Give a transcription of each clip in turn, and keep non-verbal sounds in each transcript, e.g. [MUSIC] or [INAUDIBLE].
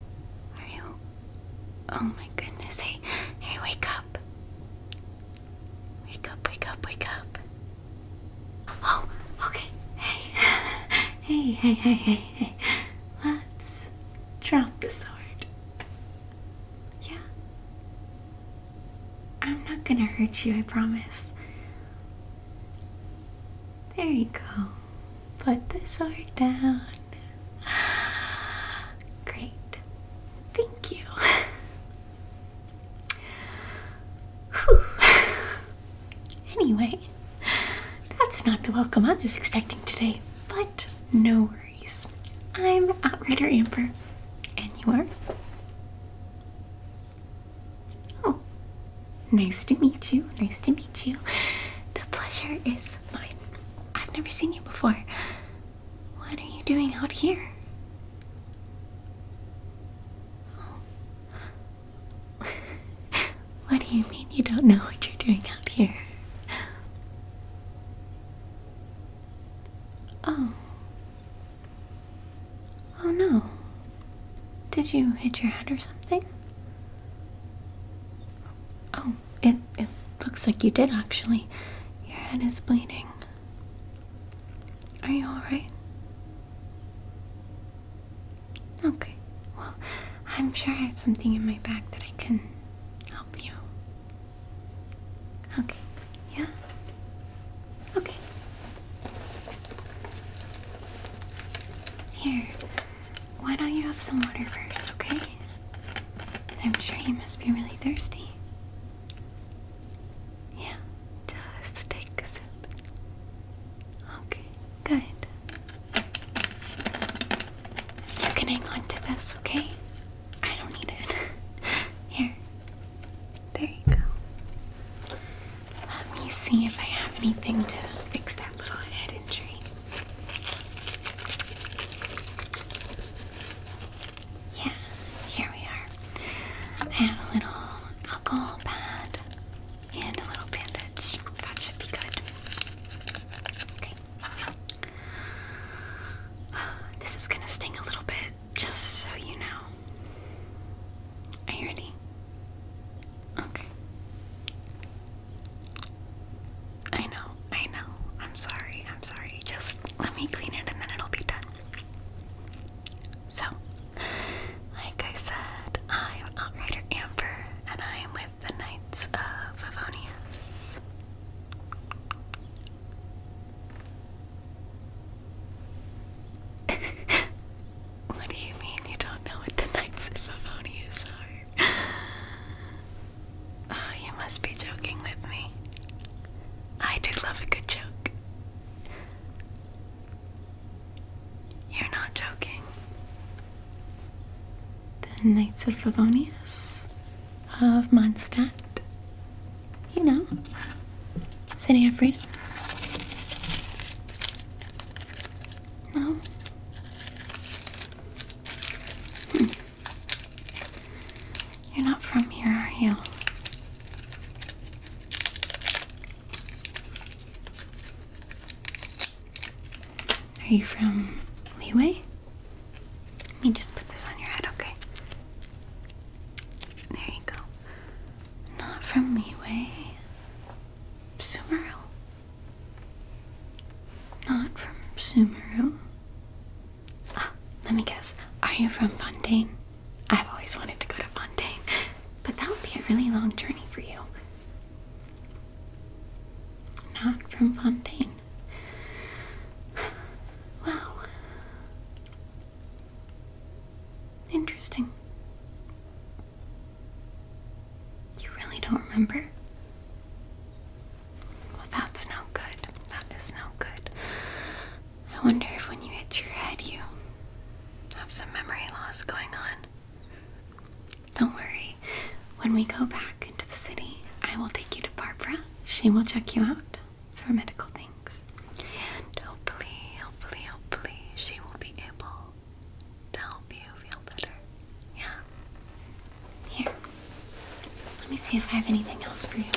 Are you? Oh my goodness. Hey, hey, wake up. Wake up, wake up, wake up. Oh, okay. Hey, [LAUGHS] hey, hey, hey, hey, hey. Let's drop the sword. Yeah. I'm not gonna hurt you, I promise. There you go. Put this art down. [GASPS] Great. Thank you. [LAUGHS] anyway, that's not the welcome I was expecting today, but no worries. I'm Outrider Amber, and you are? Oh, nice to meet you. Nice to meet you. The pleasure is mine. I've never seen you before. What are you doing out here? [LAUGHS] what do you mean you don't know what you're doing out here? Oh. Oh no. Did you hit your head or something? Oh, it, it looks like you did actually. Your head is bleeding. Are you alright? Okay, well, I'm sure I have something in my bag that I can help you. Okay, yeah? Okay. Here, why don't you have some water first, okay? I'm sure you must be really thirsty. Yeah, just take a sip. Okay, good. You can hang on to this, okay? I don't need it. [LAUGHS] Here. There you go. Let me see if I have anything to fix that little head injury. Yeah, here we are. I have a little alcohol pad and a little bandage. That should be good. Okay. This is gonna sting a little bit, just so you know. Are you ready? Okay. I know, I know. I'm sorry, I'm sorry. Just let me clean it and then it'll be done. So, like I said, I'm Outrider Amber and I am with the Knights of Favonius. [LAUGHS] What do you mean you don't know what the Knights of Favonius are? [LAUGHS] Oh, you must be joking with me. I do love a good joke. You're not joking. The Knights of Favonius of Mondstadt. You know, City of no. Hmm. You're not from here, are you? Are you from Leeway? Let me just put this on your head, okay? There you go. Not from Leeway. Sumeru. Not from Sumeru. Ah, let me guess. Are you from Fontaine? I've always wanted to go to Fontaine, but that would be a really long journey for you. Not from Fontaine. Wow. Interesting. You really don't remember? Well, that's no good. That is no good. I wonder if when you hit your head, you have some memory loss going on. Don't worry. When we go back into the city, I will take you to Barbara. She will check you out for medical things hopefully, hopefully, hopefully, she will be able to help you feel better. Yeah. Here. Let me see if I have anything else for you.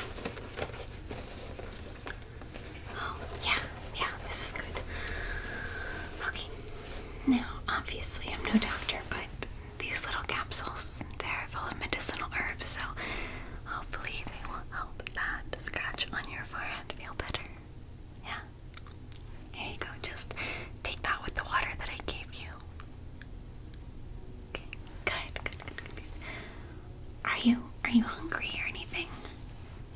Oh, yeah, yeah, this is good. Okay. Now, obviously, I'm no doctor, but these little capsules, they're full of medicinal herbs, so hopefully they will help that scratch on your forehead feel better. Yeah. Here you go. Just take that with the water that I gave you. Okay. Good. Good. Good. Good. Are you are you hungry or anything?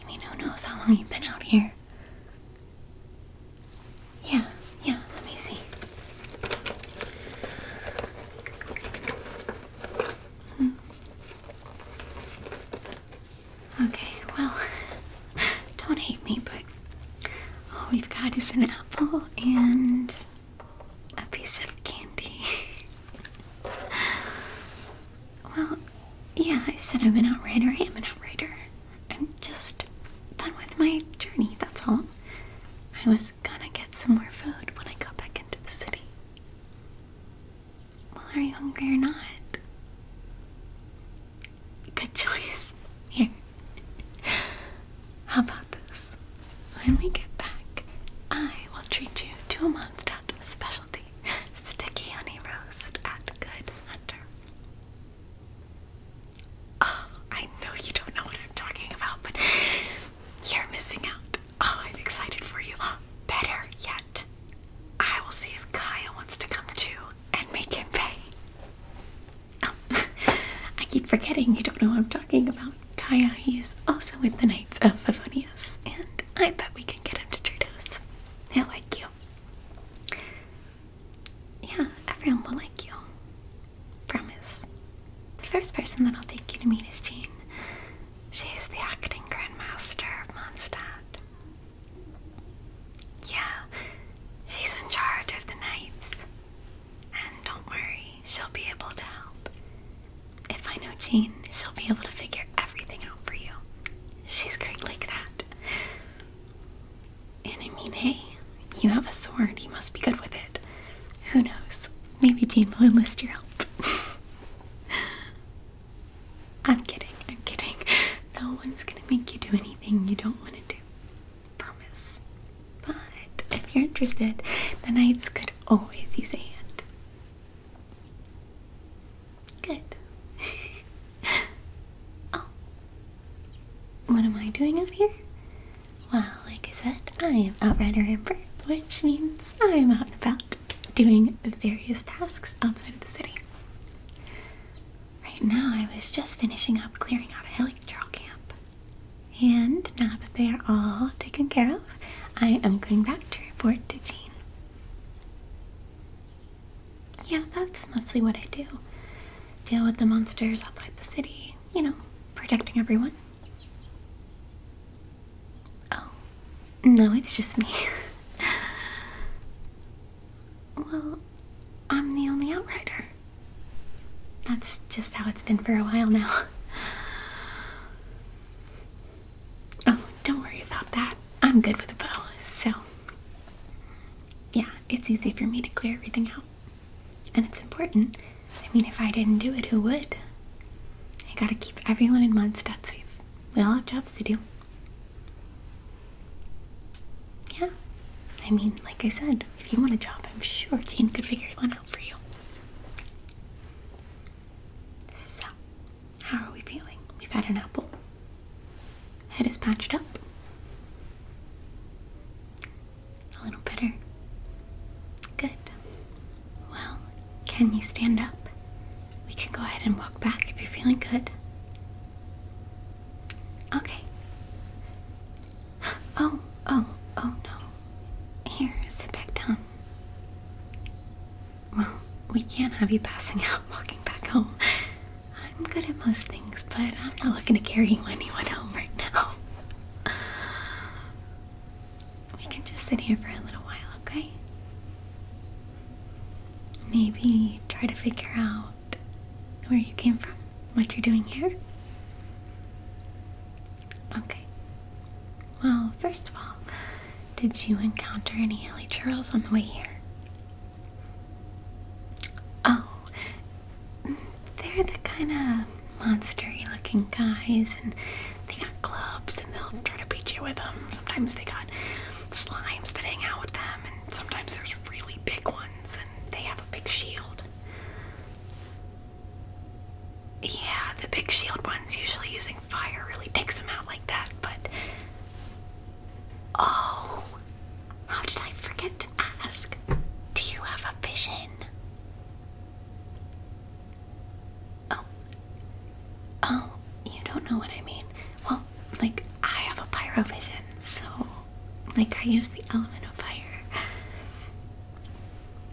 I mean, who knows how long you've been out here? Yeah. Yeah. Let me see. Hmm. Okay, well, [LAUGHS] don't hate me, but all we've got is an apple and a piece of candy. [LAUGHS] well, yeah, I said I'm an outrider. I am an outrider. I'm just done with my journey, that's all. I was gonna get some more food when I got back into the city. Well, are you hungry or not? Good choice. Here. How about this? When we get back, I will treat you to a Mondstadt specialty [LAUGHS] sticky honey roast at Good Hunter. Oh, I know you don't know what I'm talking about, but you're missing out. Oh, I'm excited for you. [GASPS] Better yet, I will see if Kaya wants to come too and make him pay. Oh, [LAUGHS] I keep forgetting you don't know what I'm talking about. Kaya, he is also with the Knights of Favonius, and I bet we can get him to treat us. He'll like you. Yeah, everyone will like you. Promise. The first person that I'll take you to meet is Jane. She's the acting grandmaster of Mondstadt. Yeah, she's in charge of the knights. And don't worry, she'll be able to help. If I know Jean, she'll be able to figure everything out for you. She's great like that. And I mean, hey, you have a sword, you must be good with it. Who knows? Maybe Jean will enlist your help. [LAUGHS] I'm kidding, I'm kidding. No one's gonna make you do anything you don't wanna do. Promise. But if you're interested, the knights could always use a hand. Good. [LAUGHS] oh. What am I doing out here? Well, like I said, I am Outrider Amber, which means I'm out and about doing various tasks outside of the city. Right now, I was just finishing up clearing out a helicopter camp. And now that they are all taken care of, I am going back to report to Jean. Yeah, that's mostly what I do. Deal with the monsters outside the city, you know, protecting everyone. Oh, no, it's just me. well, I'm the only outrider. That's just how it's been for a while now. Oh, don't worry about that. I'm good with a bow, so. Yeah, it's easy for me to clear everything out. And it's important I mean, if I didn't do it, who would? I gotta keep everyone in Mondstadt safe. We all have jobs to do. Yeah, I mean, like I said, if you want a job, I'm sure Jane could figure one out for you. So, how are we feeling? We've had an apple. Head is patched up. A little better. Good. Well, can you stand up? We can go ahead and walk back if you're feeling good. Okay. [GASPS] Oh, oh, oh no. Here, sit back down. Well, we can't have you passing [LAUGHS] out walking back home. I'm good at most things, but I'm not looking to carry you [LAUGHS] anyone home right now. We can just sit here for a little while, okay? Maybe try to figure out where you came from, what you're doing here. Okay. Well, first of all, did you encounter any hilly churls on the way here? Oh, they're the kind of monstery looking guys, and they got clubs, and they'll try to beat you with them. Sometimes they got slimes that hang out with them, and sometimes there's really big ones, and they have a big shield. Yeah, the big shield ones usually using fire really takes them out like that, but. Oh! How did I forget to ask? Do you have a vision? Oh. Oh, you don't know what I mean. Well, like, I have a pyrovision, so, like, I use the element of fire.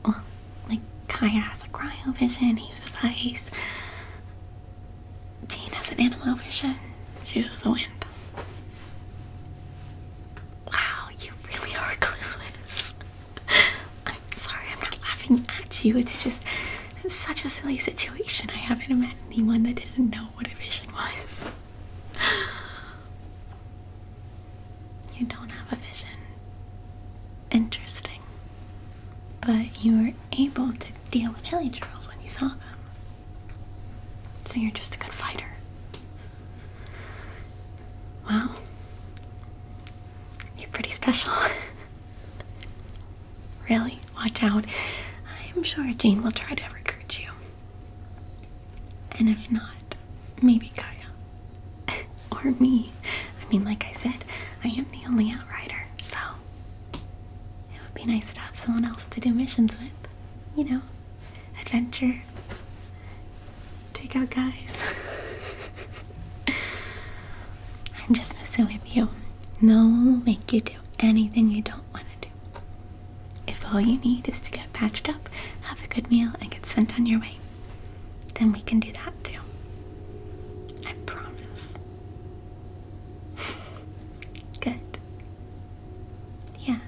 Well, like, Kaya has a cryovision, he uses ice. Jane has an animal vision, she uses the wind. Wow, you really are [LAUGHS] clueless. [LAUGHS] I'm sorry, I'm not laughing at you. It's just it's such a silly situation. I haven't met anyone that didn't know what a vision was. [SIGHS] You don't have a vision. Interesting. But you were able to deal with Hilly Charles when you saw them. So you're just a good fighter. Wow. You're pretty special. [LAUGHS] really? Watch out. I'm sure Jean will try to recruit you. And if not, maybe Kaya. [LAUGHS] or me. I mean, like I said, I am the only outrider, so it would be nice to have someone else to do missions with. You know, adventure, take out guys. [LAUGHS] I'm just messing with you. No one will make you do anything you don't want to do. If all you need is to get patched up, have a good meal, and get sent on your way, then we can do that too. I promise. [LAUGHS] good yeah,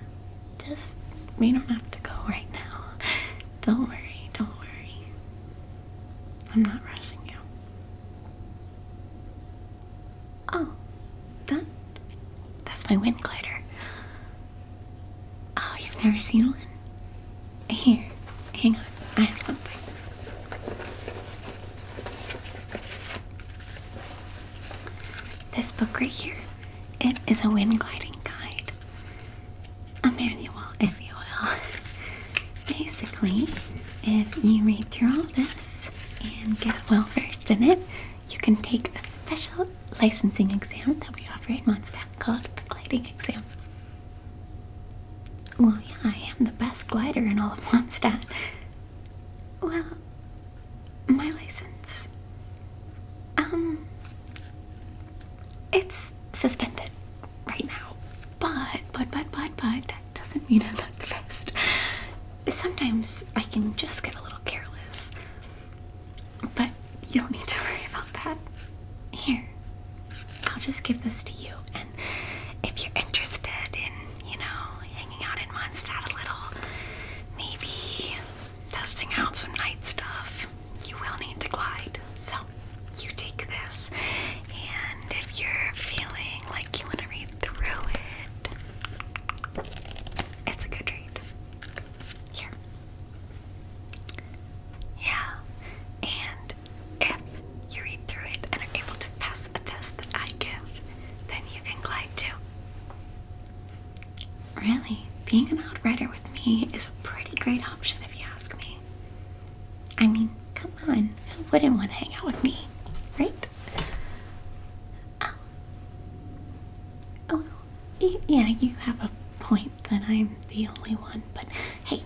just we don't have to go right now. [LAUGHS] Don't worry, don't worry. I'm not rushing you. Oh, that that's my wind glider. Oh, you've never seen one? Here, hang on. I have something. This book right here, it is a wind gliding guide a manual, if you will. Basically, if you read through all this and get well versed in it, you can take a special licensing exam that we offer at Mondstadt called the gliding exam. Well, yeah, I am the best glider in all of Mondstadt. Well, my license. Um, it's suspended right now. But, but, but, but, but, that doesn't mean I'm not the best. Sometimes I can just get a little careless. But you don't need to worry about that. Here, I'll just give this to you. And if you're interested in, you know, hanging out in Mondstadt a little, maybe testing out some night stuff, you will need to glide. So you take this, and if you're feeling like you want to read through it, it's a good read. Here. Yeah. And if you read through it and are able to pass a test that I give, then you can glide too. Really, being an writer with me is a pretty great option if you ask me. I mean, come on, who wouldn't want to hang out with me, right? Oh, oh yeah, you have a point that I'm the only one, but hey,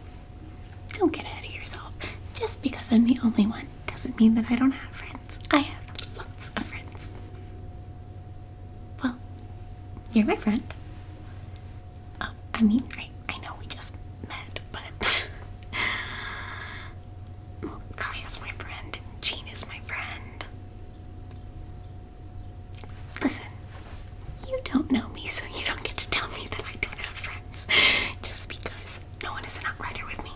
don't get ahead of yourself. Just because I'm the only one doesn't mean that I don't have friends. I have lots of friends. Well, you're my friend. Oh, I mean, I, know we just met, but. [LAUGHS] Kaya's my friend, and is my friend. Listen, you don't know me, so you don't get to tell me that I don't have friends [LAUGHS] just because no one is an outrider with me.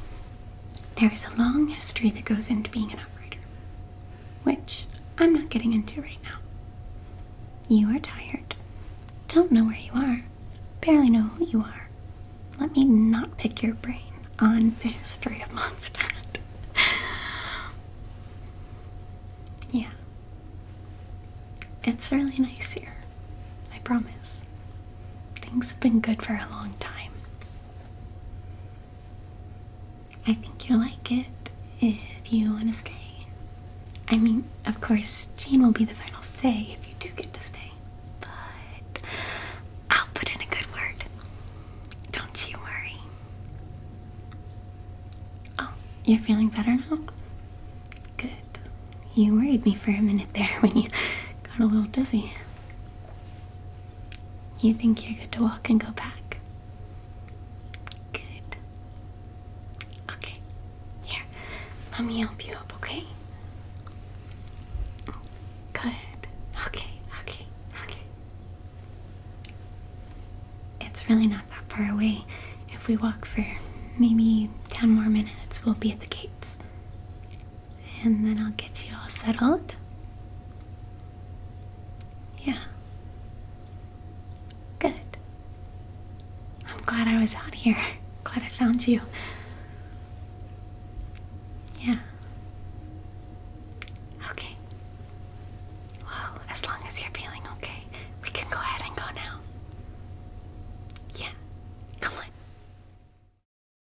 There is a long history that goes into being an operator, which I'm not getting into right now. You are tired, don't know where you are, barely know who you are. Let me not pick your brain on the history of Mondstadt. [LAUGHS] yeah. It's really nice here. I promise. Things have been good for a long time. I think you'll like it if you want to stay. I mean, of course, Jane will be the final say if you do get to stay, but I'll put in a good word. Don't you worry. Oh, you're feeling better now? Good. You worried me for a minute there [LAUGHS] when you got a little dizzy. You think you're good to walk and go back? Good. Okay. Here, let me help you up, okay? Good. Okay, okay, okay. It's really not that far away. If we walk for maybe 10 more minutes, we'll be at the gates and then I'll get you all settled. Yeah. Good. I'm glad I was out here. [LAUGHS] Glad I found you. Yeah. Okay. Well, as long as you're feeling okay, we can go ahead and go now. Yeah. Come on.